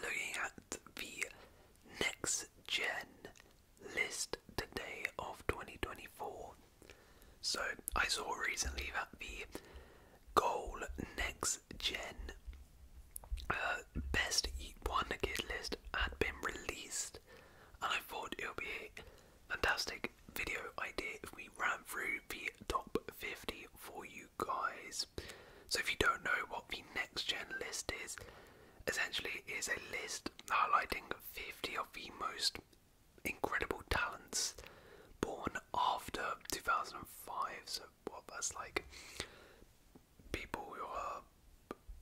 Looking at the next gen list today of 2024. So I saw recently that the goal next gen uh, best one kid list had been released, and I thought it would be a fantastic video idea if we ran through the top 50 for you guys. So if you don't know what the next gen list is, essentially it is a list highlighting 50 of the most incredible talents born after 2005. So what that's like people who are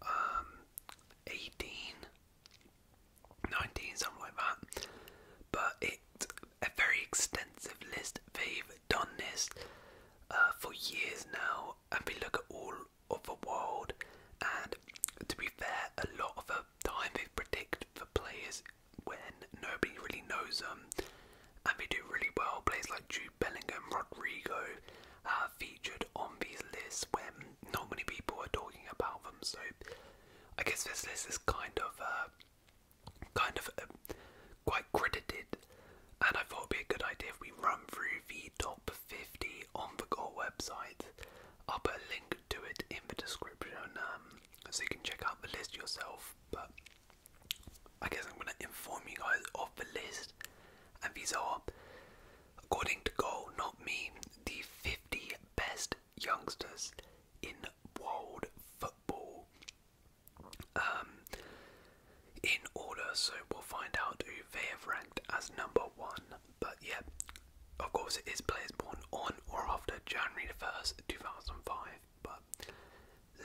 um, 18 19 something like that but it's a very extensive list they've done this uh, for years now and we look at all of the world and to be fair a lot of the time they predict the players when nobody really knows them and they do really well. Players like Jude Bellingham, Rodrigo are uh, featured on these lists when not many people are talking about them so I guess this list is kind of uh, kind of uh, quite credited and I thought it'd be a good idea if we run through the top 50 on the goal website. I'll put a link to it in the description um, so you can check out the list yourself. But I guess I'm going to inform you guys of the list, and these are, according to Goal, not me, the 50 best youngsters in world football. Um, in order, so we'll find out who they have ranked as number one. But yeah, of course, it is players born on or after January the 1st, 2005. But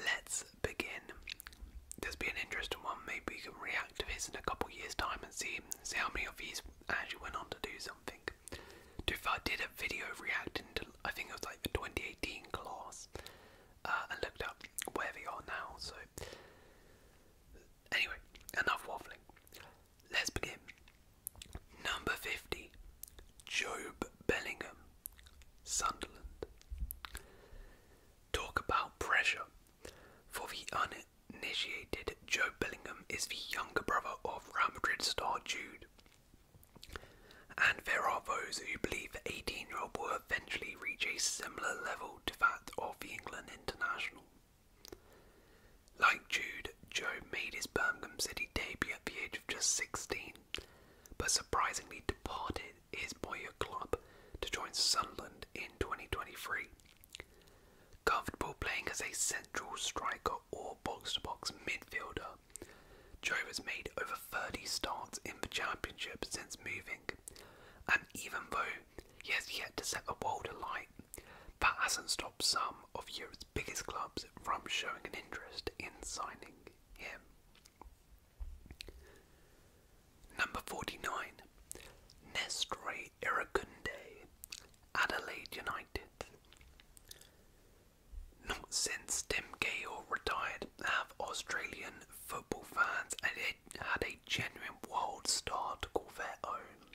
let's begin. This be an interesting one. Maybe we can react to this in a couple years' time and see, see how many of these actually went on to do something. if I did a video reacting to, I think it was like the 2018 class, uh, and looked up wherever you are now. So, anyway, enough waffling. Let's begin. Number 50 Job Bellingham, Sunderland. Talk about pressure. For the uninitiated, Job Bellingham is the younger brother of Real Madrid star Jude. And there are those who believe 18 year old boy eventually reach a similar level to that of the England international. Like Jude, Joe made his Birmingham City debut at the age of just 16, but surprisingly departed his boyhood club to join Sunderland in 2023. Comfortable playing as a central striker or box to box midfielder, Joe has made over 30 starts in the Championship since moving, and even though he has yet to set the world alight. but hasn't stopped some of Europe's biggest clubs from showing an interest in signing him. Number 49. Nestre Irakunde, Adelaide United. Not since Tim Gale retired have Australian football fans had a genuine world star to call their own,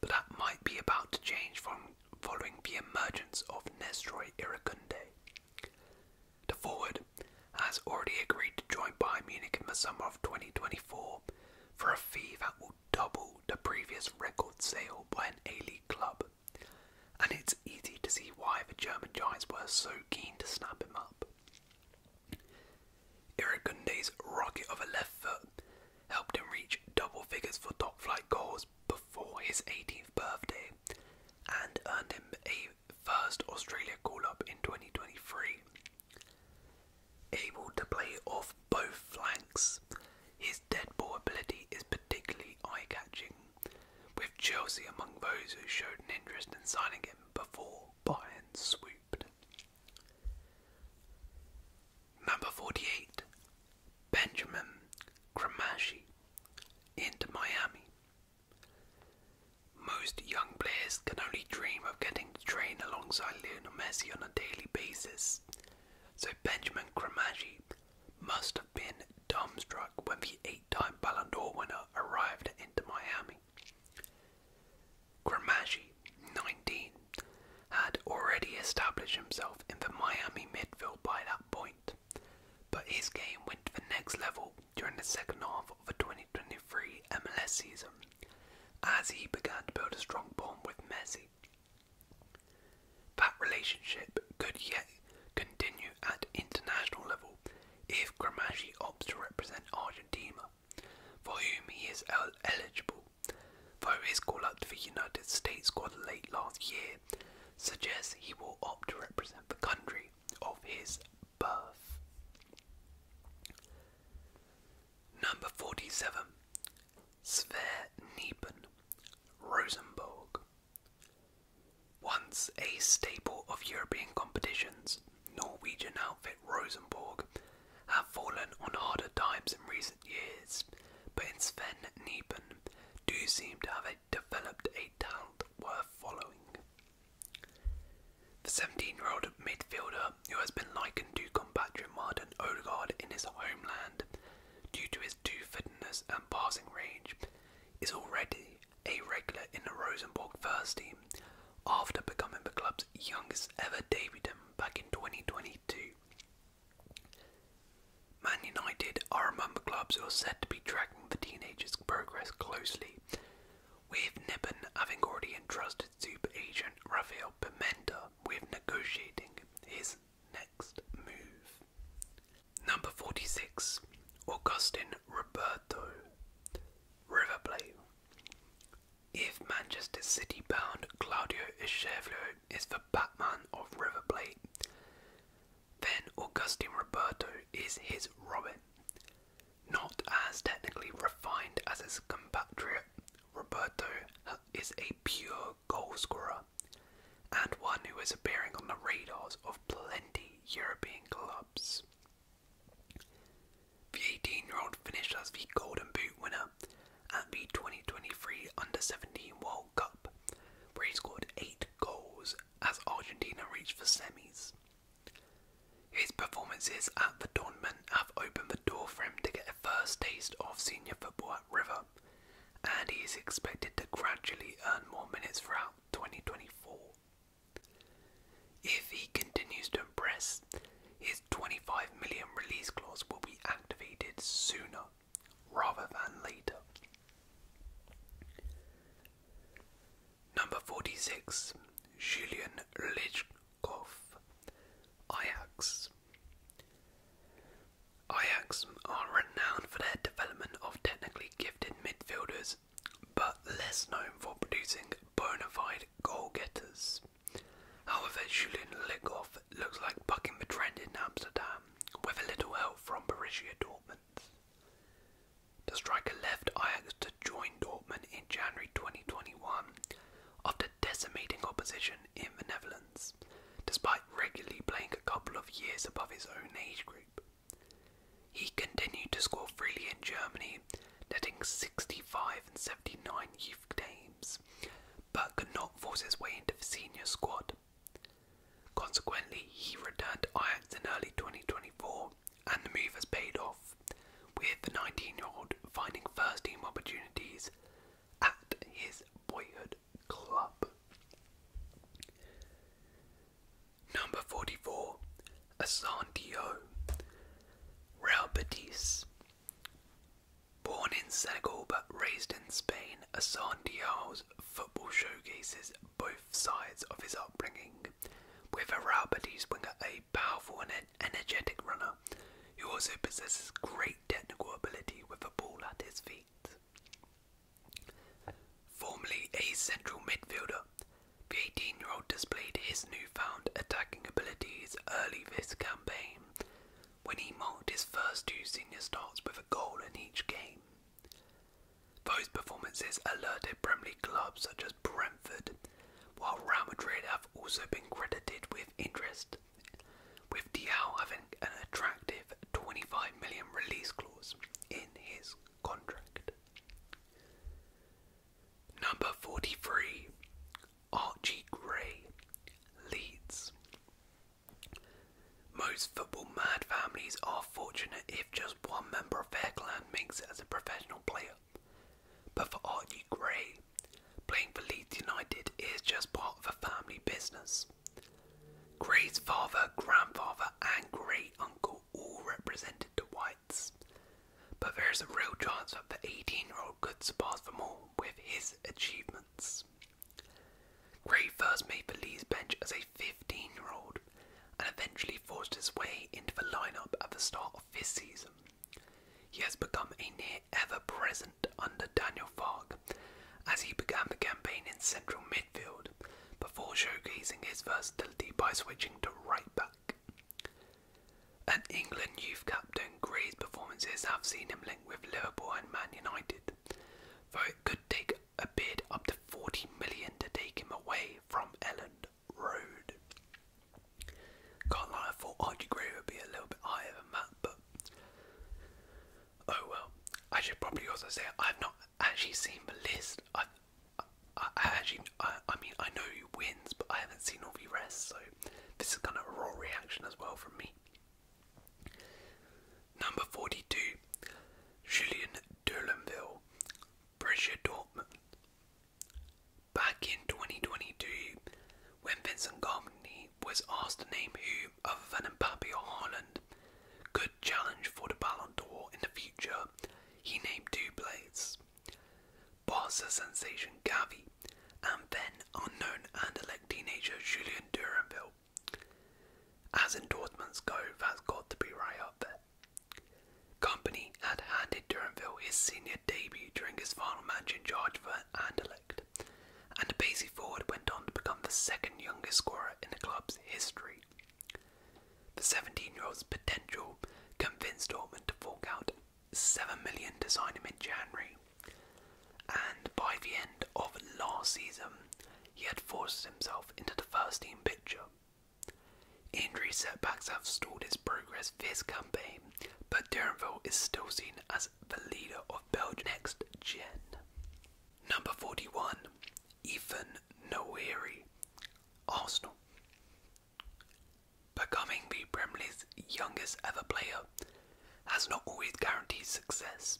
but that might be about to change from following the emergence of Nestroy Irakunde. The forward has already agreed to join Bayern Munich in the summer of 2024 for a fee that will double the previous record sale by an A-League club, and it's easy to see why the German Giants were so keen to snap him up. Iragunde's rocket of a left foot helped him reach double figures for top flight goals before his 18th birthday and earned him a first Australia call up in 2023. Able to play off both flanks, his dead-ball ability is particularly eye catching, with Chelsea among those who showed an interest in signing him before Bayern swooped. Number 48, Benjamin Kramashi into Miami. Most young players can only dream of getting to train alongside Lionel Messi on a daily basis, so Benjamin Kramashi must have been dumbstruck when the eight-time Ballon d'Or winner arrived into Miami. Gramaggi, 19, had already established himself in the Miami midfield by that point, but his game went to the next level during the second half of the 2023 MLS season as he began to build a strong bond with Messi. That relationship could yet continue at international level if Gramaggi opts to represent Argentina for whom he is eligible, though his call-up to the United States squad late last year suggests he will opt to represent the country of his birth. Number 47. Sver Nieben, Once a staple of European competitions, Norwegian outfit Rosenborg have fallen on harder times in recent years, but in Sven Nieben do seem to have developed a talent worth following. The 17-year-old midfielder, who has been likened to compatriot Martin Odegaard in his homeland due to his two-footedness and passing range, is already a regular in the Rosenborg first team, after becoming the club's youngest ever debutant back in 2022. Man United are among the clubs who are said to be tracking the teenagers' progress closely, with Nibben having already entrusted super agent Rafael Pimenta with negotiating his next move. Number 46 Augustin Roberto River Plate if Manchester City bound Claudio Echevlo is the Batman of River Plate, then Augustin Roberto is his Robin. Not as technically refined as his compatriot, Roberto is a pure goalscorer and one who is appearing on the radars of plenty European clubs. The 18 year old finished as the Golden Boot winner at the 2023 Under 17 World Cup, where he scored 8 goals as Argentina reached the semis. His performances at the tournament have opened the door for him to get a first taste of senior football at River, and he is expected to gradually earn more minutes throughout 2024. If he continues to impress, his 25 million release clause will be activated sooner rather than later. Number 46, Julian Lichkov, Ajax. Ajax are renowned for their development of technically gifted midfielders but less known for producing bona fide goal getters. However, Julian Lickhoff looks like bucking the trend in Amsterdam, with a little help from Borussia Dortmund. The striker left Ajax to join Dortmund in January 2021 after decimating opposition in the Netherlands, despite regularly playing a couple of years above his own age group. He continued to score freely in Germany, netting 65 and 79 youth games, but could not force his way into the senior squad. Consequently, he returned to Ajax in early 2024, and the move has paid off, with the 19-year-old finding first-team opportunities at his boyhood club. Number 44. Assandio. Real Born in Senegal but raised in Spain, Assandio's football showcases both sides of his upbringing, with a Real winger a powerful and energetic runner who also possesses great technical ability with a ball at his feet. Formerly a central midfielder, the 18 year old displayed his newfound attacking abilities early this campaign when he marked his first two senior starts with a goal in each game. Those performances alerted Premier League clubs such as Brentford, while Real Madrid have also been credited with interest, with Diao having an attractive 25 million release clause in his contract. Number 43, Archie Gray, Leeds. Most football mad families are fortunate if just one member of their clan makes it as a professional player. But for Archie Gray, playing for Leeds United is just part of a family business. Gray's father, grandfather, and great uncle all represented the whites. But there is a real chance that the 18 year old could surpass them all with his achievements. Gray first made the Lees bench as a 15 year old and eventually forced his way into the lineup at the start of this season. He has become a near ever present under Daniel Fark as he began the campaign in central midfield before showcasing his versatility by switching to right back. An England youth captain, Gray's performances have seen him linked with Liverpool and Man United, though it could take a bid up to 40 million to take him away from Elland Road. Can't lie, I thought Archie Gray would be a little bit higher than that, but oh well. I should probably also say I've not actually seen the list. I've I, actually, I, mean, I know who wins, but I haven't seen all the rest, so this is kind of a raw reaction as well from me. Number 42, Julian Dulanville, Borussia Dortmund. Back in 2022, when Vincent Company was asked to name who, other than Mbappe or Haaland, could challenge for the Ballon d'Or in the future, he named two players. Barca sensation Gavi, and then unknown Anderlecht teenager Julian Duranville. As endorsements go, that's got to be right up there. Company had handed Duranville his senior debut during his final match in charge for Anderlecht, and Basie Ford went on to become the second youngest scorer in the club's history. The 17 year old's potential convinced Dortmund to fork out 7 million to sign him in January. And by the end of last season, he had forced himself into the first team picture. Injury setbacks have stalled his progress this campaign, but Durenville is still seen as the leader of Belgium next gen. Number 41, Ethan Noiri, Arsenal. Becoming the Premier League's youngest ever player has not always guaranteed success,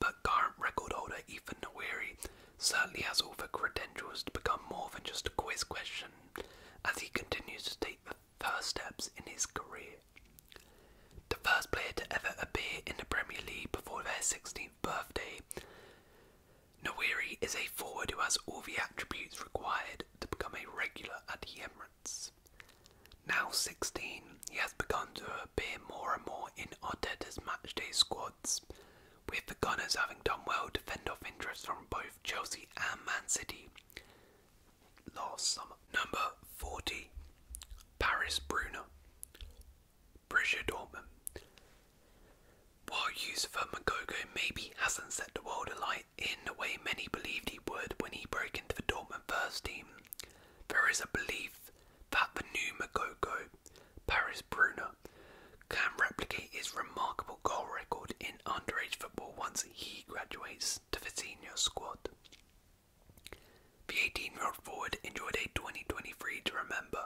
but current record holder Ethan Nweri certainly has all the credentials to become more than just a quiz question as he continues to take the first steps in his career. The first player to ever appear in the Premier League before their 16th birthday, Nweri is a forward who has all the attributes required to become a regular at Emirates. Now 16, he has begun to appear more and more in Arteta's matchday squads, with the Gunners having done well to fend off interest from both Chelsea and Man City last summer. Number 40, Paris Bruna, Borussia Dortmund. While Yusufa Magogo maybe hasn't set the world alight, in the way many believed he would when he broke into the Dortmund first team, there is a belief that the new Makoko, Paris Brunner, can replicate his remarkable goal record in underage football once he graduates to the senior squad. The 18 year old forward enjoyed a 2023 to remember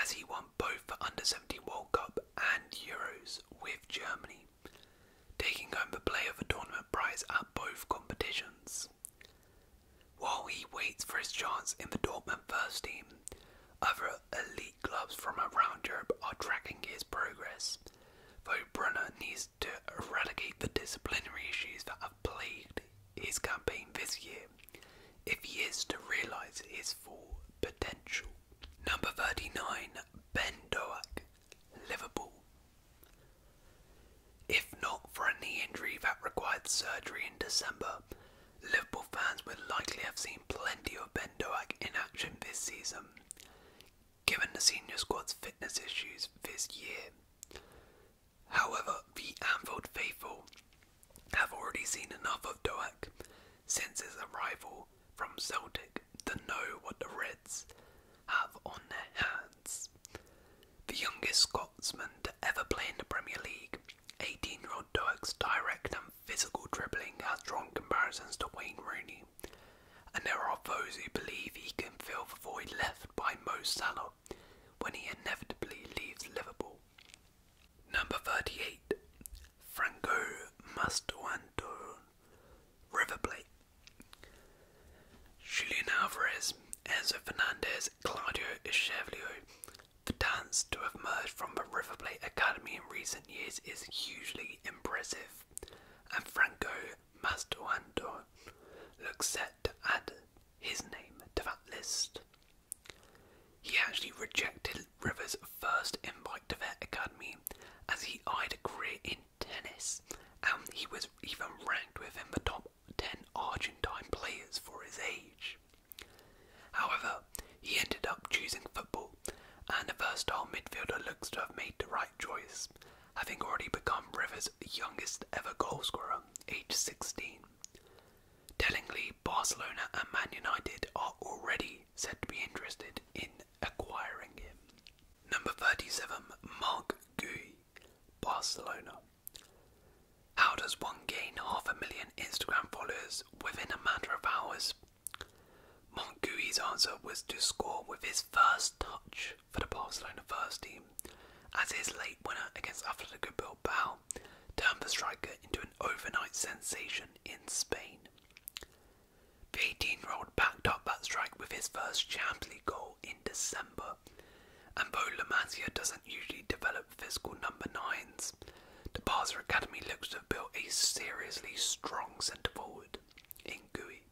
as he won both the Under 17 World Cup and Euros with Germany taking home the play of the Tournament prize at both competitions. While he waits for his chance in the Dortmund first team, other elite clubs from around Europe are tracking his progress, though Brunner needs to eradicate the disciplinary issues that have plagued his campaign this year if he is to realise his full potential. Number 39, Ben Doak, Liverpool. If not for a knee injury that required surgery in December, Liverpool fans would likely have seen plenty of Ben Doak in action this season, given the senior squad's fitness issues this year. However, the Anfield faithful have already seen enough of Doak since his arrival from Celtic to know what the Reds have on their hands. The youngest Scotsman to ever play in the Premier League, 18 year old Doak's direct and physical dribbling has drawn comparisons to Wayne Rooney, and there are those who believe he can fill the void left by Mo Salah when he inevitably leaves Liverpool. Number 38, Franco Mastuanto River Plate. Julian Alvarez, Enzo Fernandez, Claudio Echevlio. The dance to have emerged from the River Plate Academy in recent years is hugely impressive, and Franco Mastuando looks set to add his name to that list. He actually rejected Rivers' first invite to their academy as he eyed a career in tennis, and um, he was even ranked within the top 10 Argentine players for his age. However, he ended up choosing football, and the versatile midfielder looks to have made the right choice, having already become Rivers' youngest ever goalscorer, aged 16. Tellingly, Barcelona and Man United are already said to be interested in acquiring him. Number 37, Marc Barcelona. How does one gain half a million Instagram followers within a matter of hours? Marc answer was to score with his first touch for the Barcelona first team, as his late winner against Atletico Bilbao turned the striker into an overnight sensation in Spain. The 18 year old backed up that strike with his first Champions League goal in December. And though La doesn't usually develop physical number nines, the Barca Academy looks to have built a seriously strong centre forward in Gui.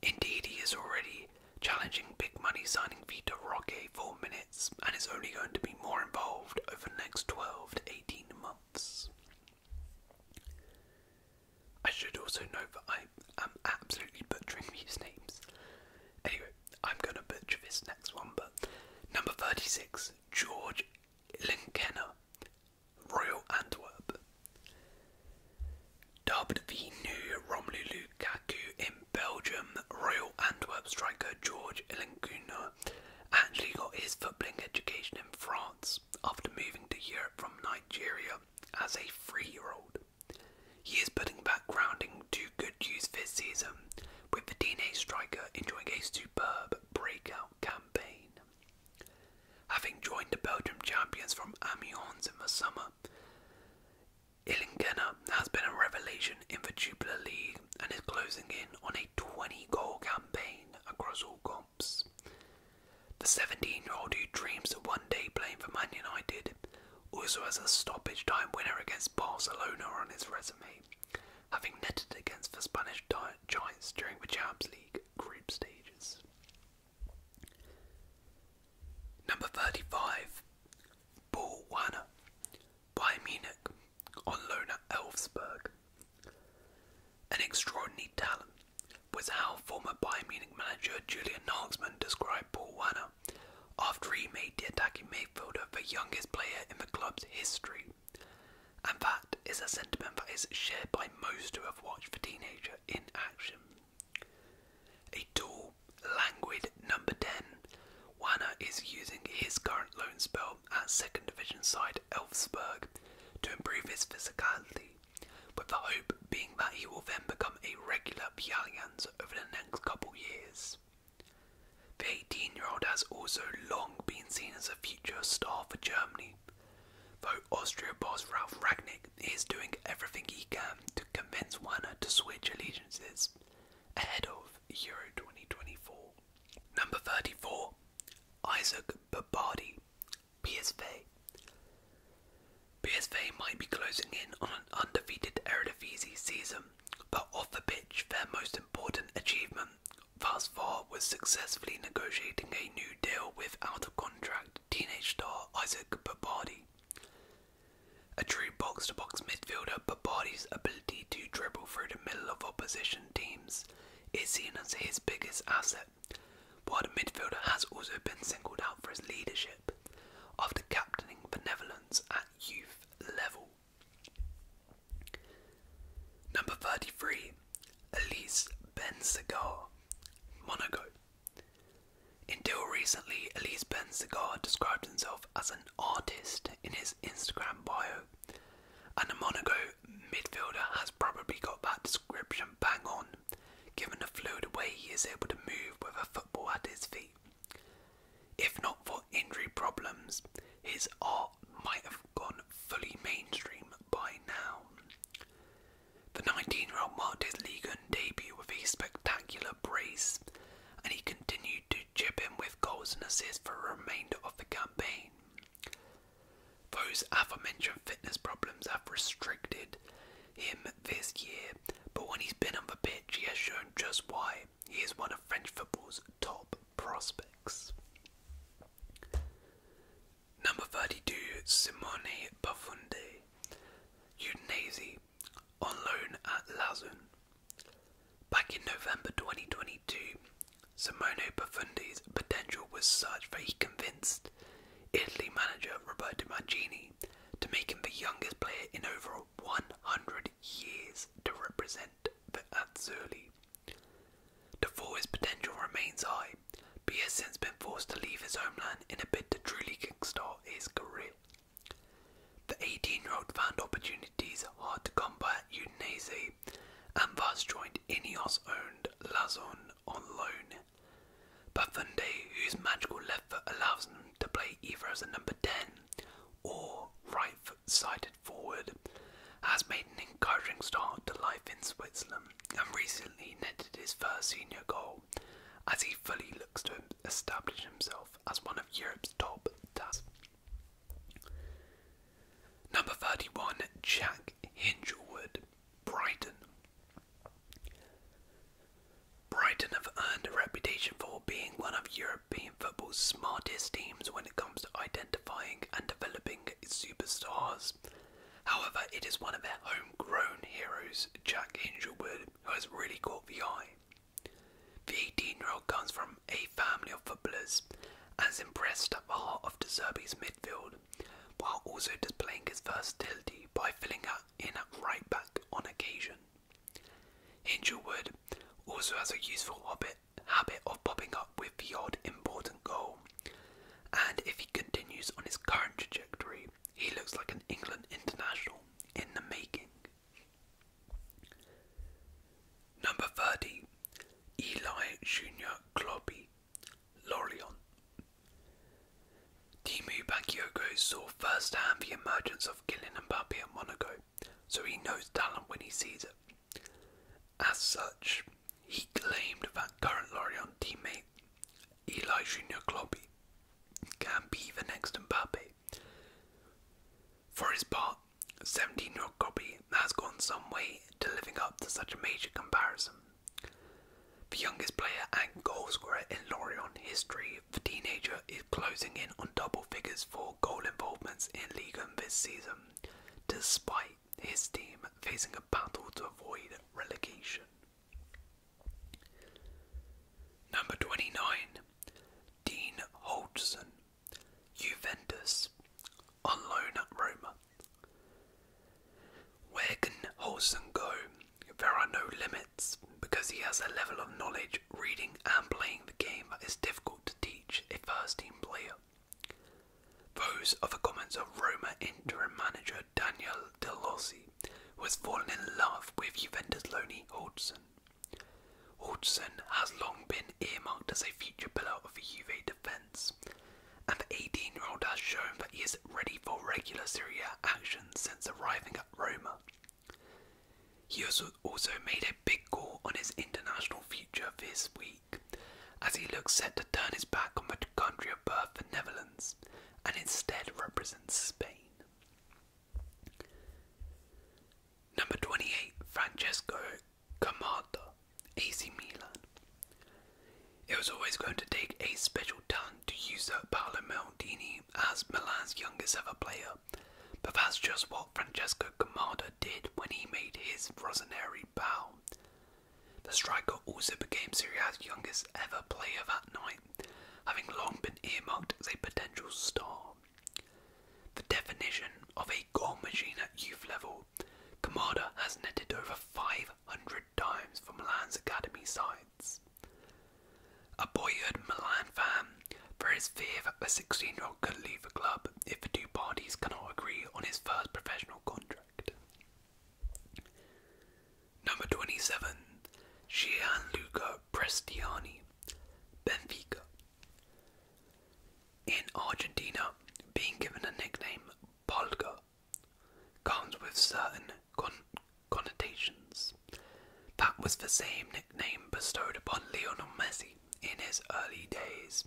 Indeed, he is already challenging big money signing Vita Roque for minutes and is only going to be more involved over the next 12 to 18 months. I should also note that I am absolutely butchering these names. Anyway, I'm going to butcher this next one, but number 36, George Linkena, Royal Antwerp. Dubbed the new Romelu Lukaku in Belgium, Royal Antwerp striker George Linkena actually got his footballing education in France after moving to Europe from Nigeria as a three year old. He is putting that grounding to good use this season, with the DNA striker enjoying a superb breakout campaign. Having joined the Belgium champions from Amiens in the summer, Ilinkena has been a revelation in the Jupiler League and is closing in on a 20 goal campaign across all comps. The 17 year old who dreams of one day playing for Man United also has a stoppage time winner against Barcelona on his resume, having netted against the Spanish Giants during the Champions League group stages. Number 35, Paul Werner, Bayern Munich, on loan at Elfsberg, an extraordinary talent was how former Bayern Munich manager Julian Nagelsmann described Paul Werner after he made the attacking midfielder the youngest player in the club's history. And that is a sentiment that is shared by most who have watched the teenager in action. A tall, languid number 10, Werner is using his current loan spell at second division side Elfsberg to improve his physicality, with the hope being that he will then become a regular Pialians over the next couple years. The 18 year old has also long been seen as a future star for Germany, though Austria boss Ralph Ragnick is doing everything he can to convince Werner to switch allegiances ahead of Euro 2024. Number 34 Isaac Babardi, PSV. PSV might be closing in on an undefeated Eredivisie season, but off the pitch, their most important achievement thus far was successfully negotiating a new deal with out-of-contract teenage star Isaac Babardi. A true box-to-box midfielder, Babardi's ability to dribble through the middle of opposition teams is seen as his biggest asset while the midfielder has also been singled out for his leadership after captaining the Netherlands at youth level. Number 33, Elise Ben Cigar, Monaco. Until recently, Elise Ben Cigar described himself as an artist in his Instagram bio, and a Monaco midfielder has probably got that description bang on, given the fluid way he is able to move with a football at his feet. If not for injury problems, his art might have gone fully mainstream by now. The 19 year old marked his league debut with a spectacular brace, and he continued to chip in with goals and assists for the remainder of the campaign. Those aforementioned fitness problems have restricted him this year, but when he's been on the pitch, he has shown just why he is one of French football's top prospects. Number 32, Simone Baffunde, Udinese, on loan at Lazun. Back in November 2022, Simone Profundi's potential was such that he convinced Italy manager Roberto Mancini to make him the youngest player in over 100 years to represent the Azzurri. The forward's potential remains high, but he has since been forced to leave his homeland in a bid to truly kickstart his career. The 18 year old found opportunities hard to come by at Udinese away and thus joined Ineos owned Lazon on loan. Baffunde, whose magical left foot allows him to play either as a number 10 or right foot sided forward, has made an encouraging start to life in Switzerland and recently netted his first senior goal as he fully looks to establish himself as one of Europe's top stars. Number 31, Jack Hingelwood. Brighton. Brighton have earned a reputation for being one of European football's smartest teams when it comes to identifying and developing its superstars. However, it is one of their homegrown heroes, Jack Angelwood, who has really caught the eye. The 18 year old comes from a family of footballers and is impressed at the heart of De Zerbi's midfield, while also displaying his versatility by filling up in at right back on occasion. Hinchelwood also has a useful habit of popping up with the odd important goal, and if he continues on his current trajectory, he looks like an England international in the making. Number 30, Eli Junior Clobby. Laurion. Timu Bakayoko saw firsthand the emergence of Kylian Mbappe at Monaco, so he knows talent when he sees it. As such, he claimed that current Lorient teammate Eli Junior Kloppy can be the next Mbappe. For his part, 17-year-old Kloppy has gone some way to living up to such a major comparison. The youngest player and goalscorer in Lorient history, the teenager is closing in on double figures for goal involvements in Ligue 1 this season, despite his team facing a battle to avoid relegation. Number 29, Dean Hodgson, Juventus on loan at Roma. Where can Holson go? There are no limits because he has a level of knowledge, reading, and playing the game that is difficult to teach a first team player. Those are the comments of Roma interim manager Daniel Delossi, who has fallen in love with Juventus Loni Hodgson. Hodgson has long been earmarked as a future pillar of the Juve defence, and the 18-year-old has shown that he is ready for regular Serie A action since arriving at Roma. He also made a big call on his international future this week, as he looks set to turn his back on the country of birth, the Netherlands, and instead represent Spain. Number 28, Francesco Camarda. AC Milan. It was always going to take a special talent to usurp Paolo Maldini as Milan's youngest ever player, but that's just what Francesco Gamarda did when he made his Rossoneri bow. The striker also became Serie A's youngest ever player that night, having long been earmarked as a potential star. The definition of a goal machine at youth level, Kamada has netted over 500 times for Milan's academy sides. A boyhood Milan fan, there is fear that the 16 year old could leave the club if the two parties cannot agree on his first professional contract. Number 27, Gianluca Prestiani, Benfica. In Argentina, being given a nickname Polga comes with certain connotations. That was the same nickname bestowed upon Lionel Messi in his early days,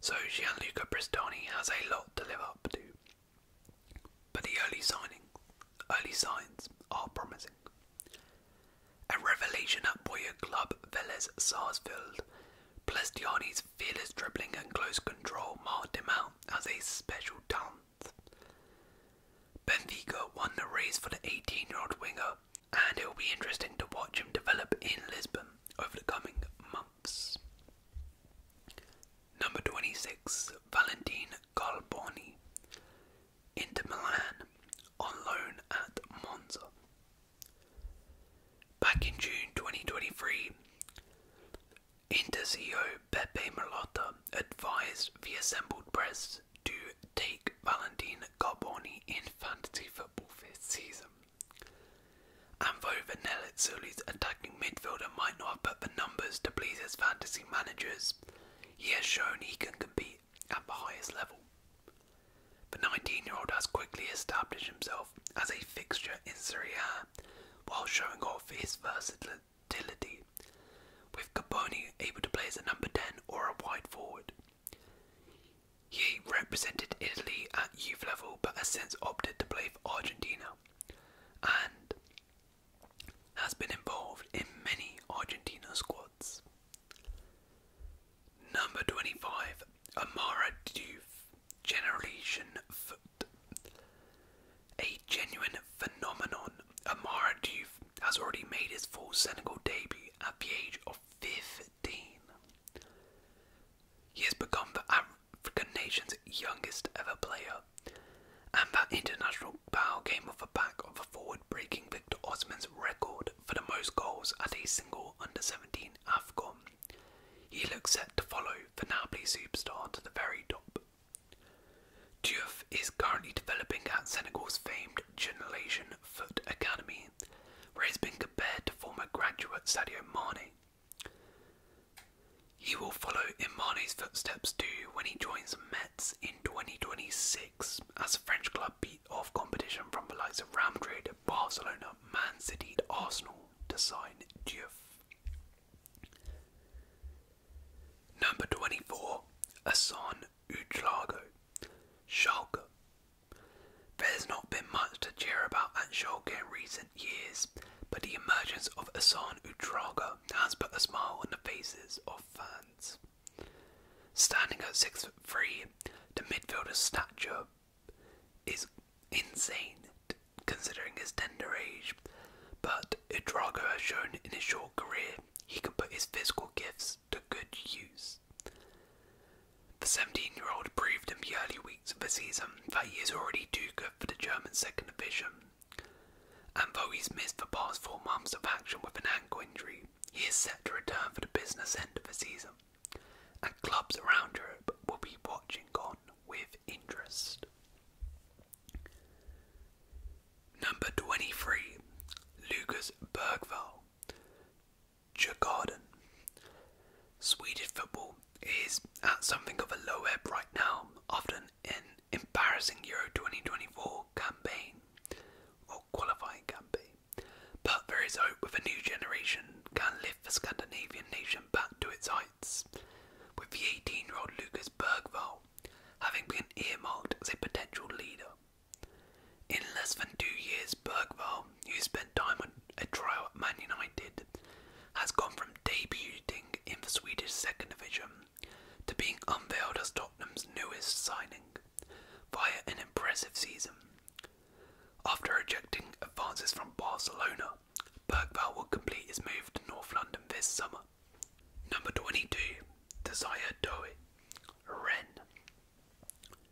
so Gianluca Bristoni has a lot to live up to. But the early signing, early signs are promising. A revelation at Boyer club Velez Sarsfield, Plestiani's fearless dribbling and close control marked him out as a special talent. Benfica won the race for the 18 year old winger, and it will be interesting to watch him develop in Lisbon over the coming months. Number 26, Valentin Galboni, into Milan, on loan at Monza. Back in June 2023, Inter-CEO Pepe Malotta advised the assembled press to take Valentin Carboni in fantasy football this season. And though the attacking midfielder might not have put the numbers to please his fantasy managers, he has shown he can compete at the highest level. The 19 year old has quickly established himself as a fixture in Serie A while showing off his versatility, with Caponi able to play as a number 10 or a wide forward. He represented Italy at youth level but has since opted to play for Argentina and has been involved in many Argentina squads. Number 25, Amara Diouf. Generation A genuine phenomenon, Amara Diouf has already made his full Senegal debut at the age of 15. He has become the African nation's youngest ever player, and that international bow came off the back of a forward breaking Victor Osman's record for the most goals at a single under 17 AFCON he looks set to follow the Napoli superstar to the very top. Diouf is currently developing at Senegal's famed Generation Foot Academy, where he's been compared to former graduate Sadio Mane. He will follow in Mane's footsteps too when he joins Metz in 2026 as the French club beat off competition from the likes of Real Madrid, Barcelona, Man City, and Arsenal to sign Diouf. Number 24, Asan Utlago, Schalke. There's not been much to cheer about at Schalke in recent years, but the emergence of Asan Utlago has put a smile on the faces of fans. Standing at 6'3, the midfielder's stature is insane considering his tender age, but Udrago has shown in his short career he can put his physical gifts to good use. The 17 year old proved in the early weeks of the season that he is already too good for the German second division, and though he's missed the past four months of action with an ankle injury, he is set to return for the business end of the season, and clubs around Europe will be watching on with interest. Number 23, Lucas Bergvall, Djurgården. Swedish football is at something of a low ebb right now often an embarrassing Euro 2024 campaign or qualifying campaign. But there is hope with a new generation can lift the Scandinavian nation back to its heights, with the 18 year old Lucas Bergvall having been earmarked as a potential leader. In less than two years, Bergvall, who spent time on a trial at Man United, has gone from debuting in the Swedish second division to being unveiled as Tottenham's newest signing via an impressive season. After rejecting advances from Barcelona, Birkvale will complete his move to North London this summer. Number 22, Desire Doe, Rennes.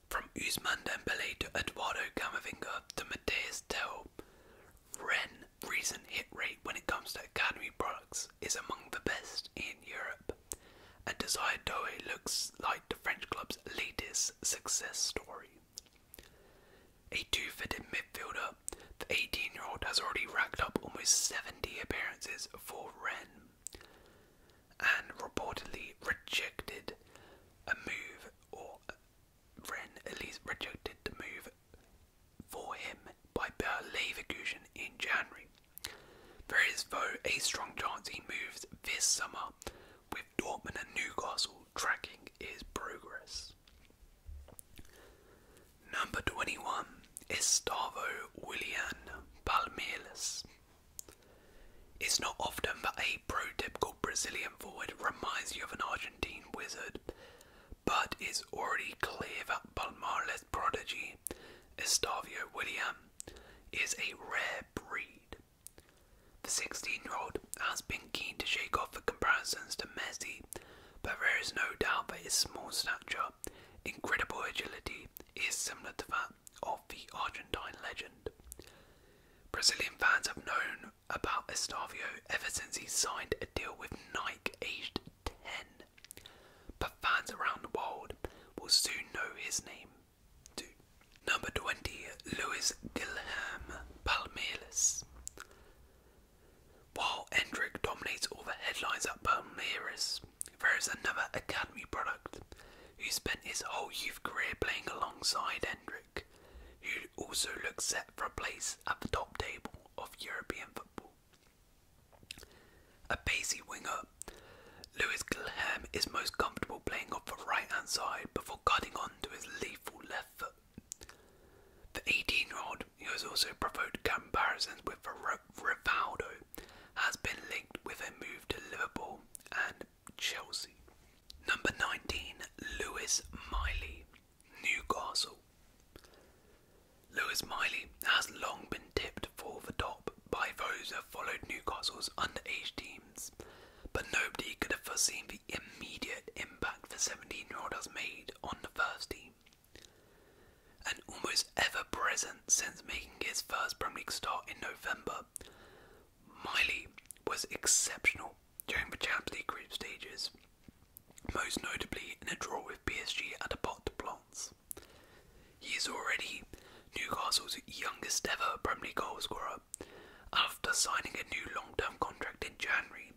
From Usman Dembele to Eduardo Camavinga to Mateus Tell, Rennes' recent hit rate when it comes to academy products is among the best in Europe, and Desire Doe looks like the French club's latest success story. A two-footed midfielder, the 18-year-old has already racked up almost 70 appearances for Ren, and reportedly rejected a move, or Ren at least rejected the move for him by Bayer Leverkusen in January. There is, though, a strong chance he moves this summer, with Dortmund and Newcastle tracking is progress. Number 21 Estavo William Palmeiras. It's not often that a prototypical Brazilian forward reminds you of an Argentine wizard, but it's already clear that Palmeiras prodigy Estavio William is a rare breed. The 16 year old has been keen to shake off the comparisons to Messi, but there is no doubt that his small stature, incredible agility, is similar to that of the Argentine legend. Brazilian fans have known about Estavio ever since he signed a deal with Nike aged 10, but fans around the world will soon know his name Number 20, Luis Guilherme Palmeiras. While Endrick dominates all the headlines at Palmeiras, there is another academy product who spent his whole youth career playing alongside Endrick, who also looks set for a place at the top table of European football. A pacey winger, Lewis Gilham, is most comfortable playing off the right hand side before cutting on to his lethal left foot. The 18 year old, who has also provoked comparisons with Rivaldo, has been linked with a move to Liverpool and Chelsea. Number 19, Lewis Miley, Newcastle. Lewis Miley has long been tipped for the top by those who have followed Newcastle's underage teams, but nobody could have foreseen immediate impact for 17 year old has made on the first team. And almost ever present since making his first Premier League start in November, Miley was exceptional during the Champions League group stages, most notably in a draw with PSG at the Pot de Plants. He is already Newcastle's youngest ever Premier League goalscorer after signing a new long term contract in January,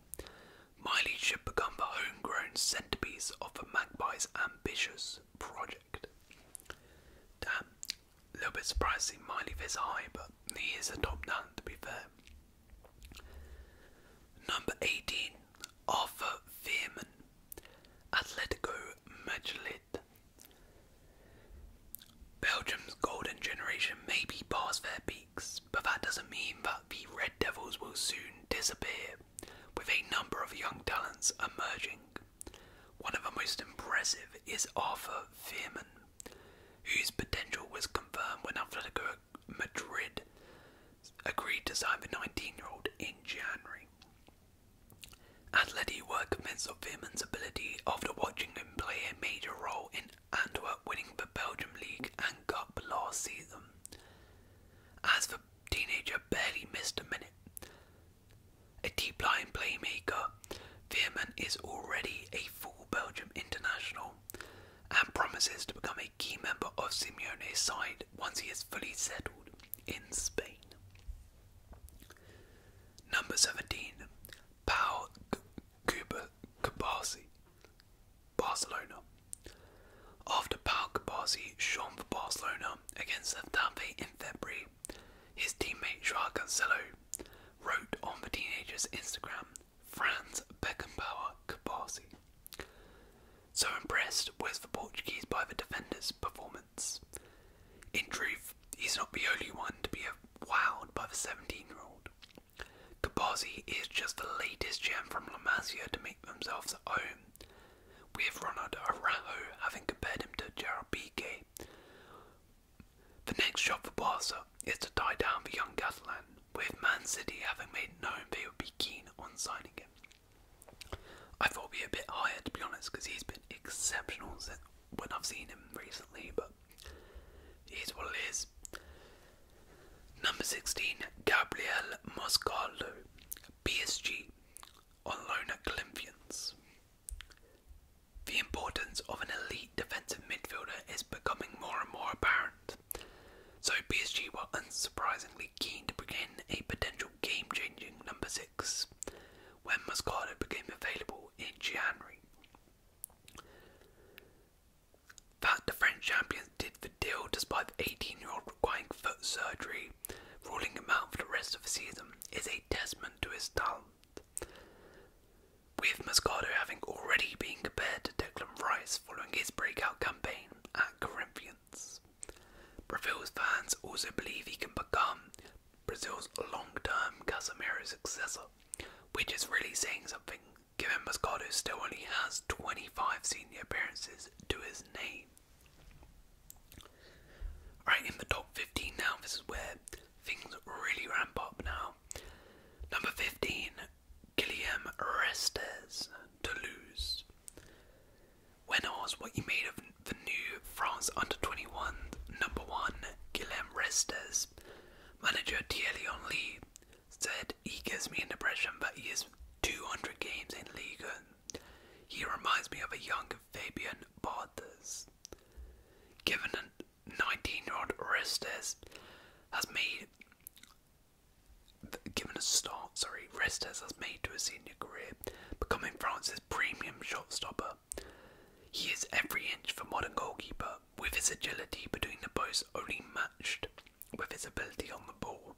Miley should become the homegrown centerpiece of the Magpie's ambitious project. Damn, a little bit surprised Miley this high, but he is a top down to be fair. Number 18, Arthur Fearman, Atletico Madrid. Belgium's golden generation may be past their peaks, but that doesn't mean that the Red Devils will soon disappear, with a number of young talents emerging. One of the most impressive is Arthur Fearman, whose potential was confirmed when Atletico Madrid agreed to sign the 19 year old in January. Atleti were convinced of Fearman's ability after watching him play a major role in and Antwerp winning the Belgium League and Cup last season, as for teenager barely missed a minute. A deep line playmaker, Veerman is already a full Belgium international and promises to become a key member of Simeone's side once he is fully settled in Spain. Number 17, Paul Kubasi. Barcelona. After Paul Kabasi shone for Barcelona against Getafe in February, his teammate Joao Cancelo wrote on the teenager's Instagram, Franz Beckenbauer Kabasi. So impressed was the Portuguese by the defender's performance. In truth, he's not the only one to be wowed by the 17 year old. Kabazi is just the latest gem from La Masia to make themselves at home, with Ronald Araujo having compared him to Gerald Piqué. The next shot for Barca is to tie down the young Catalan, with Man City having made known they would be keen on signing him. I thought we would a bit higher to be honest, because he's been exceptional when I've seen him recently, but it is what he is. Number 16, Gabriel Moscardo, PSG, on loan at Corinthians. The importance of an elite defensive midfielder is becoming more and more apparent, so PSG were unsurprisingly keen to bring in a potential game changing number 6 when Moscardo became available in January that the French champions did the deal despite the 18 year old requiring foot surgery, ruling him out for the rest of the season, is a testament to his talent. With Moscato having already been compared to Declan Rice following his breakout campaign at Corinthians. Brazil's fans also believe he can become Brazil's long term Casemiro successor, which is really saying something given Moscato still only has 25 senior appearances to his name. Right in the top 15 now, this is where things really ramp up now. Number 15, Guillaume Restes, Toulouse. When asked what he made of the new France under 21, number 1, Guillaume Restes, manager Thierry Henry said he gives me an impression that he has 200 games in Liga. He reminds me of a young Fabian Barthez. Given a 19-year-old Restes has made, given a start, sorry, Restes has made to a senior career, becoming France's premium shot stopper. He is every inch for modern goalkeeper, with his agility between the posts only matched with his ability on the ball.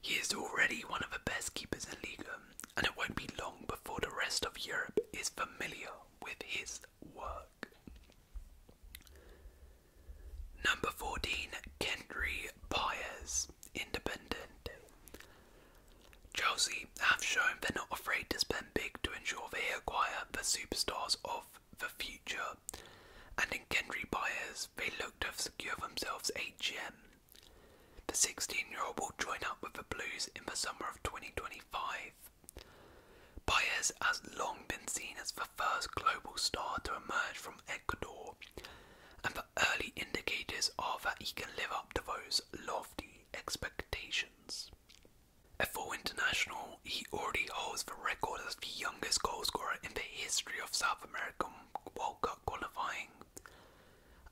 He is already one of the best keepers in Liga, and it won't be long before the rest of Europe is familiar with his work. Number 14, Kendry Paez, Independiente. Chelsea have shown they're not afraid to spend big to ensure they acquire the superstars of the future and in Kendry Byers, they looked to have secured themselves HM. The 16 year old will join up with the Blues in the summer of 2025. Baez has long been seen as the first global star to emerge from Ecuador, and the early indicators are that he can live up to those lofty expectations. At four international, he already holds the record as the youngest goalscorer in the history of South American World Cup qualifying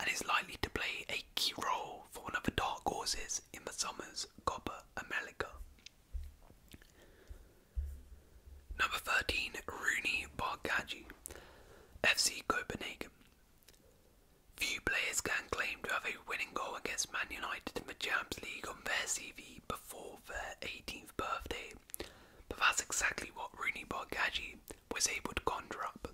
and is likely to play a key role for one of the dark horses in the summer's Copa America. Number 13, Rooney Bargaggi, FC Copenhagen. Few players can claim to have a winning goal against Man United in the Champions League on their CV before their 18th birthday but that's exactly what Rooney Barghagi was able to conjure up.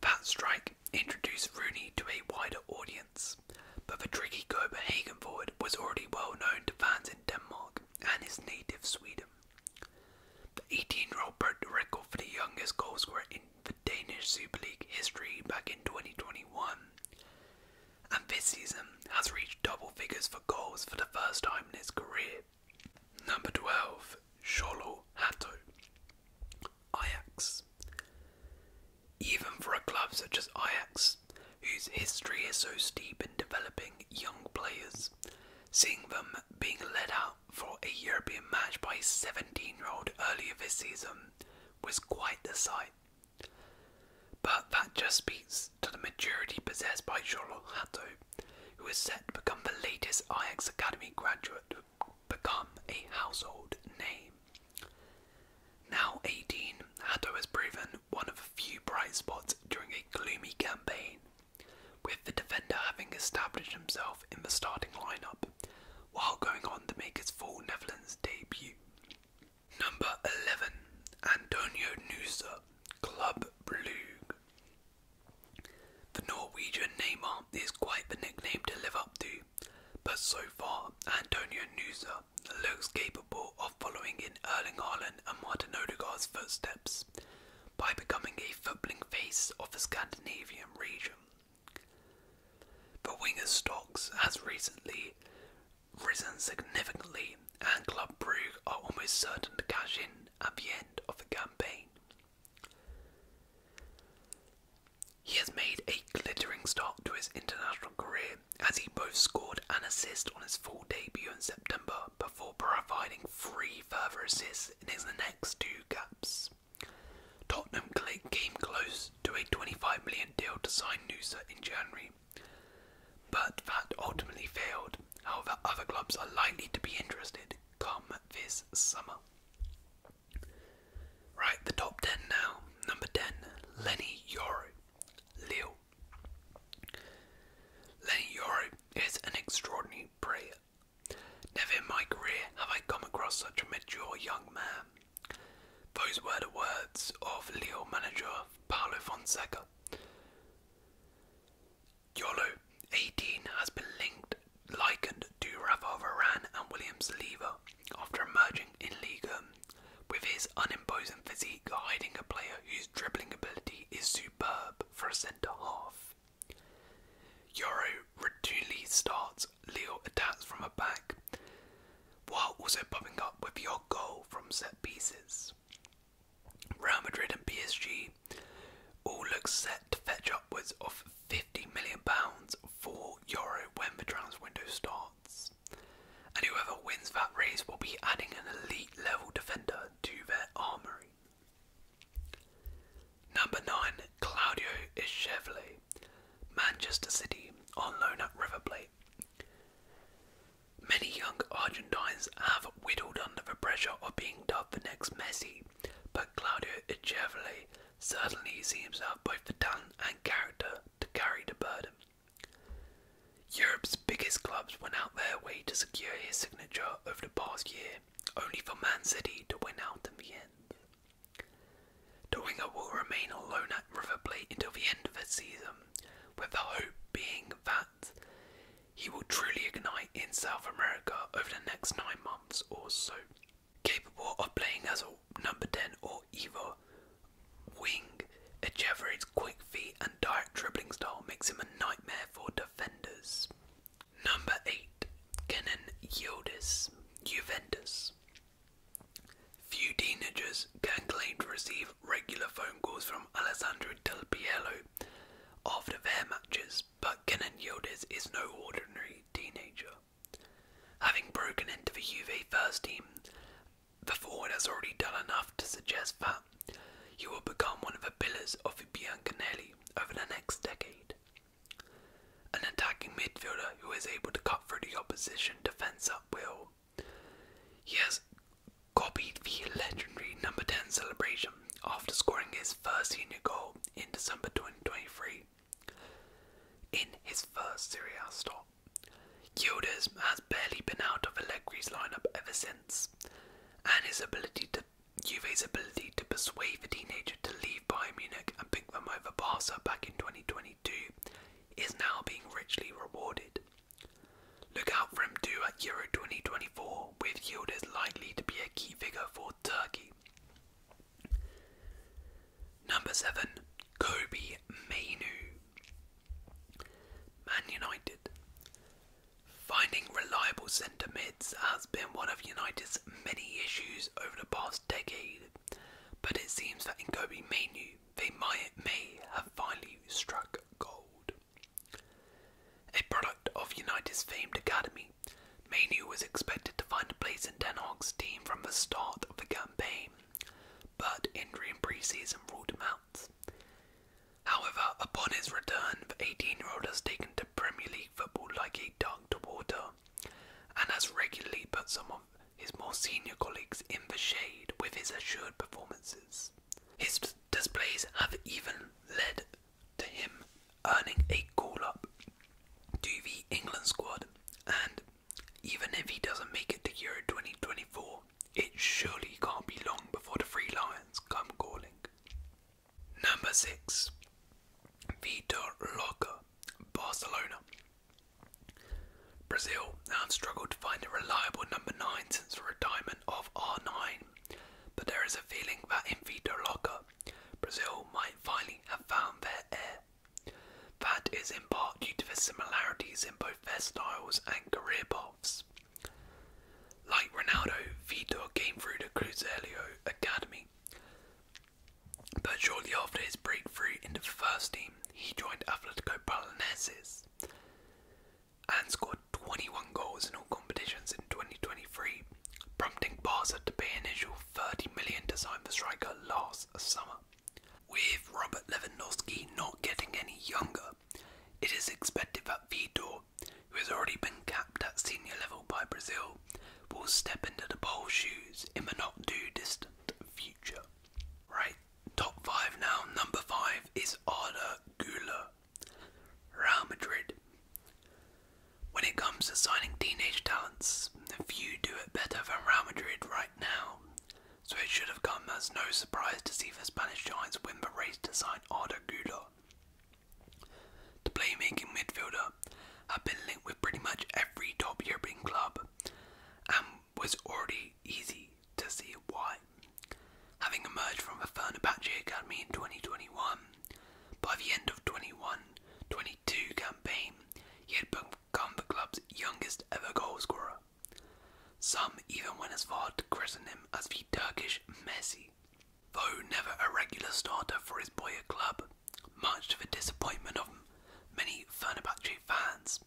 That strike introduced Rooney to a wider audience, but the tricky Copenhagen forward was already well known to fans in Denmark and his native Sweden. The 18 year old broke the record for the youngest goalscorer in the Danish Super League history back in 2021 and this season has reached double figures for goals for the first time in his career. Number 12, Sholo Hato. Ajax. Even for a club such as Ajax, whose history is so steep in developing young players, seeing them being led out for a European match by a 17 year old earlier this season was quite the sight. But that just speaks to the maturity possessed by Jolo Hato, who is set to become the latest Ajax Academy graduate to become a household name. Now 18, Hato has proven one of a few bright spots during a gloomy campaign, with the defender having established himself in the starting lineup while going on to make his full Netherlands debut. Number 11. Antonio Nusa, Club Brugge. The Norwegian name is quite the nickname to live up to, but so far Antonio Nusa looks capable of following in Erling Haaland and Martin Odegaard's footsteps by becoming a footballing face of the Scandinavian region. The winger's stocks has recently risen significantly, and Club Brugge are almost certain to cash in at the end of the campaign. He has made a glittering start to his international career as he both scored an assist on his full debut in September before providing three further assists in his next two caps. Tottenham came close to a £25 million deal to sign Noosa in January, but that ultimately failed. However, other clubs are likely to be interested come this summer. Right, the top 10 now. Number 10, Lenny Yoro, Leo. Lenny Yoro is an extraordinary player. Never in my career have I come across such a mature young man. Those were the words of Leo manager Paolo Fonseca YOLO 18 has been linked, likened to Rafa Varane and Williams Saliba after emerging in Liga, with his unimposing physique hiding a player whose dribbling ability is superb for a centre half. Euro routinely starts Leo attacks from a back, while also popping up with your goal from set pieces. Real Madrid and PSG all look set to fetch upwards of £50 million for Euro when the transfer window starts. And whoever wins that race will be adding an elite level defender to their armoury. Number 9, Claudio Echeverly, Manchester City, on loan at River Plate. Many young Argentines have whittled under the pressure of being dubbed the next Messi, but Claudio Echeverri certainly seems to have both the talent and character to carry the burden. Europe's biggest clubs went out their way to secure his signature over the past year, only for Man City to win out in the end. The will remain on loan at River Plate until the end of the season, with the hope being that he will truly ignite in South America over the next nine months or so. Capable of playing as a number 10 or either wing, Echeverry's quick feet and direct dribbling style makes him a nightmare for defenders. Number 8. Kenan Yildiz, Juventus. Few teenagers can claim to receive regular phone calls from Alessandro Del Piero after their matches, but Kenan Yildiz is no ordinary teenager. Having broken into the Juve first team, the forward has already done enough to suggest that he will become one of the pillars of the over the next decade. An attacking midfielder who is able to cut through the opposition defence at will, he has copied the legendary number 10 celebration after scoring his first senior goal in December 2023 in his first Serie A stop. Yildiz has barely been out of Allegri's lineup ever since, and his ability to Juve's ability to persuade the teenager to leave Bayern Munich and pick them over Barca back in 2022 is now being richly rewarded. Look out for him too at Euro 2024, with yielders likely to be a key figure for Turkey. Number 7. Kobe Menu, Man United. Finding reliable centre mids has been one of United's many issues over the past decade, but it seems that in Kobe Menu, they may have finally struck gold. A product of United's famed academy, Manu was expected to find a place in Denholm's team from the start of the campaign, but injury in pre-season ruled him out. However, upon his return, the 18-year-old has taken to Premier League football like a duck to water, and has regularly put some of his more senior colleagues in the shade with his assured performances. His displays have even led to him earning a call up to the England squad, and even if he doesn't make it to Euro 2024, it surely can't be long before the Free Lions come calling. Number 6 Vitor Roca, Barcelona. Brazil have struggled to find a reliable number 9 since the retirement of R9, but there is a feeling that in Vitor Locker, Brazil might finally have found their heir. That is in part due to the similarities in both their styles and career paths. Like Ronaldo, Vitor came through the Cruzeiro Academy, but shortly after his breakthrough into the first team, he joined Atletico Paranaenses and scored 21 goals in all competitions in 2023, prompting Barca to pay an initial 30 million to sign the striker last summer. With Robert Lewandowski not getting any younger, it is expected that Vitor, who has already been capped at senior level by Brazil, will step into the bowl shoes in the not too distant future. Right, top five now. Number five is Arda Güler Real Madrid. When it comes to signing teenage talents, few do it better than Real Madrid right now, so it should have come as no surprise to see the Spanish Giants win the race to sign Arda Guler. The playmaking midfielder had been linked with pretty much every top European club and was already easy to see why. Having emerged from the Fernabache Academy in 2021, by the end of 2021 22 campaign, he had become the club's youngest ever goalscorer. Some even went as far to christen him as the Turkish Messi. Though never a regular starter for his boyhood club, much to the disappointment of many Fernabache fans,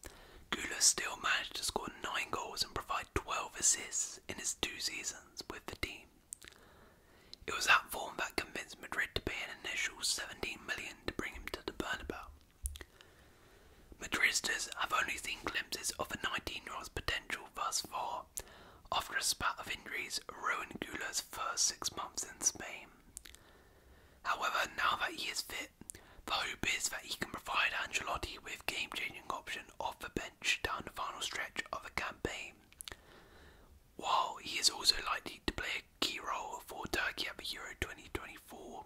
Gula still managed to score 9 goals and provide 12 assists in his two seasons with the team. It was that form that convinced Madrid to pay an initial 17 million to bring him to the Bernabeu. Madridistas have only seen glimpses of a 19-year-old's potential thus far, after a spate of injuries ruined Gula's first six months in Spain. However, now that he is fit, the hope is that he can provide Angelotti with game-changing option off the bench down the final stretch of a campaign. While he is also likely to play a key role for Turkey at the Euro 2024,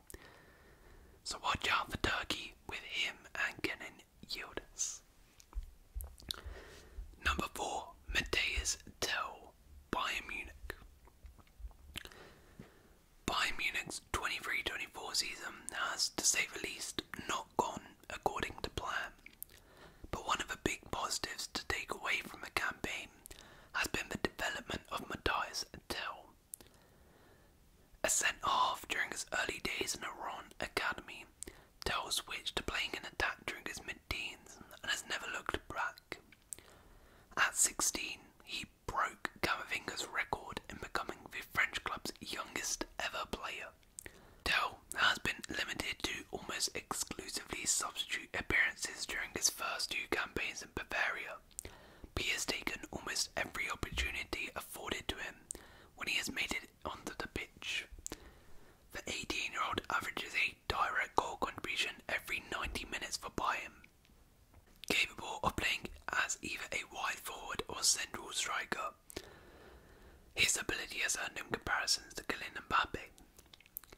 so watch out for Turkey with him and Kenan Yildiz. Number 4. Mateus Tell, Bayern Munich. Bayern Munich's 23-24 season has, to say the least, not gone according to plan. But one of the big positives to take away from the campaign has been the development of Matthias Tell. A centre half during his early days in Iran Academy, Tell switched to playing in attack during his mid teens and has never looked back. At 16, he broke Camavinga's record in becoming the French club's youngest ever player. Dell has been limited to almost exclusively substitute appearances during his first two campaigns in Bavaria. he has taken almost every opportunity afforded to him when he has made it onto the pitch. The 18 year old averages a direct goal contribution every 90 minutes for Bayern. Capable of playing as either a wide forward or central striker, his ability has earned him comparisons to Kylian Mbappe.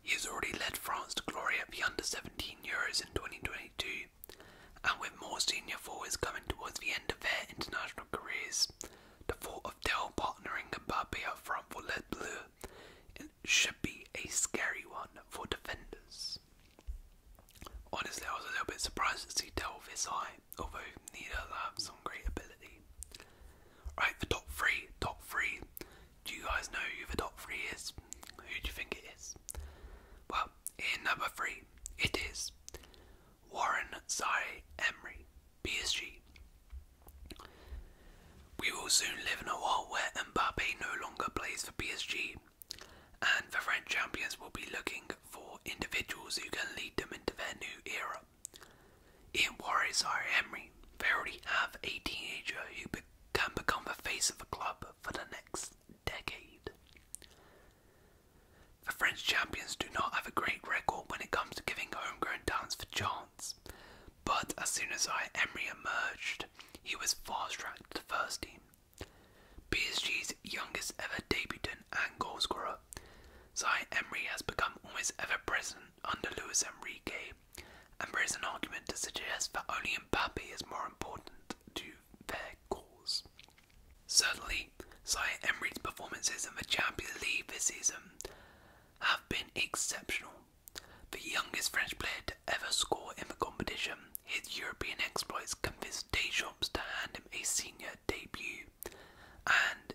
He has already led France to glory at the under 17 Euros in 2022, and with more senior forwards coming towards the end of their international careers, the thought of Del partnering Mbappe up front for Les Bleus it should be a scary one for defenders. Honestly, I was a little bit surprised to see Dell this high although neither have some great ability. Right, the top three, top three. Do you guys know who the top three is? Who do you think it is? Well, in number three, it is Warren Zai Emery, PSG. We will soon live in a world where Mbappe no longer plays for PSG, and the French champions will be looking for individuals who can lead them into their new era. it worries. Zaire Emery, they already have a teenager who can become the face of a club for the next decade. The French champions do not have a great record when it comes to giving homegrown talents the chance, but as soon as Zaire Emery emerged, he was fast tracked to the first team. PSG's youngest ever debutant and goalscorer. Zai Emery has become almost ever present under Luis Enrique, and there is an argument to suggest that only Mbappe is more important to their cause. Certainly, Zai Emery's performances in the Champions League this season have been exceptional. The youngest French player to ever score in the competition, his European exploits convinced day shops to hand him a senior debut and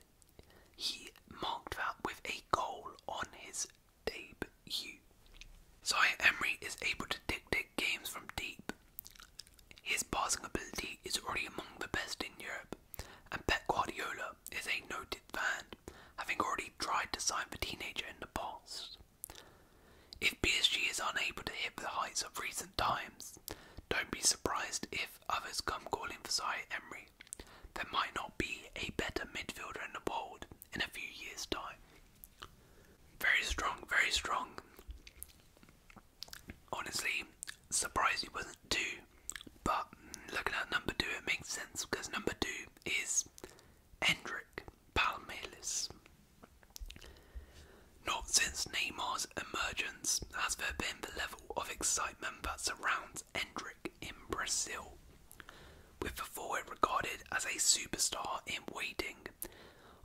he marked that with a goal on his debut. Zaya Emery is able to dictate games from deep. His passing ability is already among the best in Europe, and Pep Guardiola is a noted fan, having already tried to sign the teenager in the past. If PSG is unable to hit the heights of recent times, don't be surprised if others come calling for Zaire Emery. There might not be a better midfielder in the world in a few years' time. Very strong, very strong. Honestly, surprised he wasn't two, but looking at number two, it makes sense because number two is Hendrik Palmeiras. Not since Neymar's emergence has there been the level of excitement that surrounds Endrick in Brazil, with the forward regarded as a superstar in waiting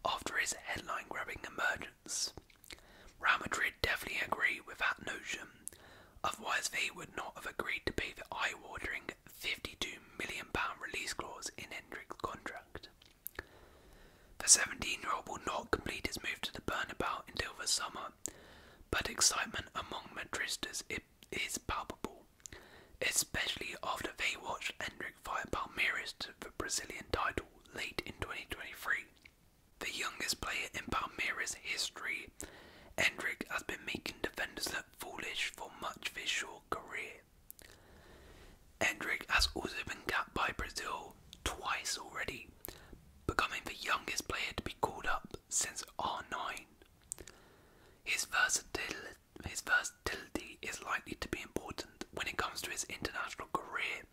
after his headline grabbing emergence. Real Madrid definitely agree with that notion, otherwise, they would not have agreed to pay the eye watering £52 million release clause in Endrick's contract. The 17-year-old will not complete his move to the Bernabeu until the summer, but excitement among Madridistas is palpable, especially after they watched Hendrik fire Palmeiras to the Brazilian title late in 2023. The youngest player in Palmeiras history, Hendrik has been making defenders look foolish for much of his short career. Hendrik has also been capped by Brazil twice already, becoming the youngest player to be called up since R9. His versatility, his is likely to be important when it comes to his international career,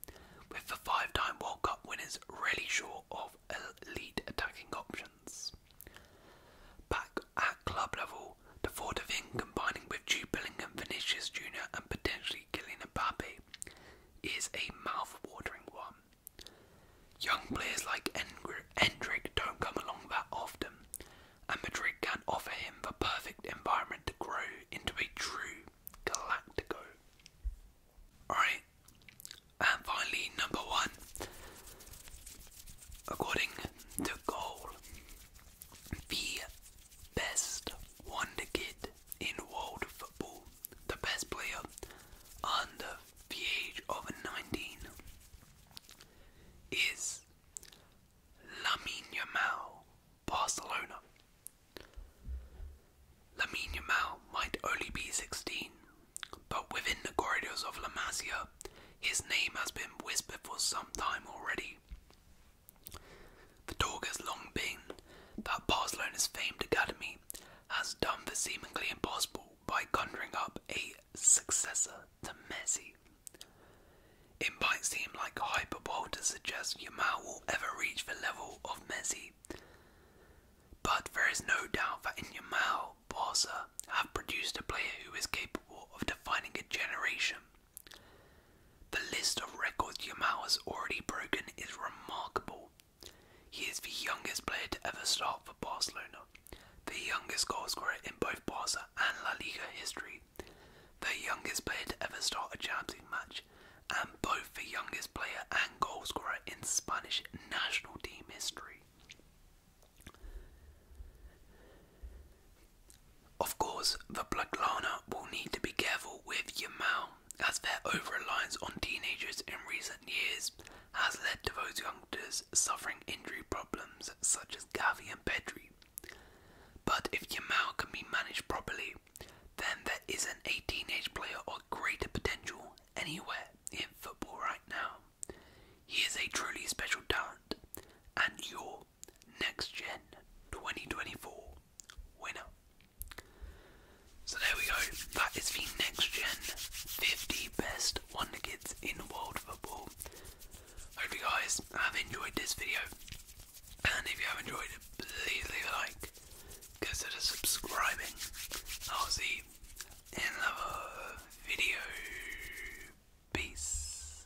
with the five time World Cup winners really short of elite attacking options. Back at club level, the thought of combining with Jude Bellingham, Vinicius Jr., and potentially Killing a puppy is a mouth-watering one. Young players like Endrick don't come along that often, and Madrid can offer him the perfect environment to grow into a true Galactico. Alright, and finally, number one. According to Goal, the best Wonder Kid in world football, the best player under the age of 19 is Lamine Yamal, Barcelona. Lamine Yamal might only be 16, but within the corridors of La Masia, his name has been whispered for some time already. The talk has long been that Barcelona's famed academy has done the seemingly impossible by conjuring up a successor to Messi. It might seem like hyperbole to suggest Yamal will ever reach the level of Messi, but there is no doubt that in Yamal, Barca have produced a player who is capable of defining a generation. The list of records Yamal has already broken is remarkable. He is the youngest player to ever start for Barcelona, the youngest goalscorer in both Barca and La Liga history, the youngest player to ever start a Champions match, and both the youngest player and goalscorer in Spanish national team history. Of course, the Blaugrana will need to be careful with Yamal as their over-reliance on teenagers in recent years has led to those youngsters suffering injury problems such as Gavi and Pedri. But if Yamal can be managed properly, then there isn't a teenage player of greater potential anywhere in football right now. He is a truly special talent and your next gen 2024 winner. So there we go. That is the next gen 50 best Wonder Kids in world football. Hope you guys have enjoyed this video. And if you have enjoyed please leave a like. Consider subscribing. I'll see you in another video. Peace.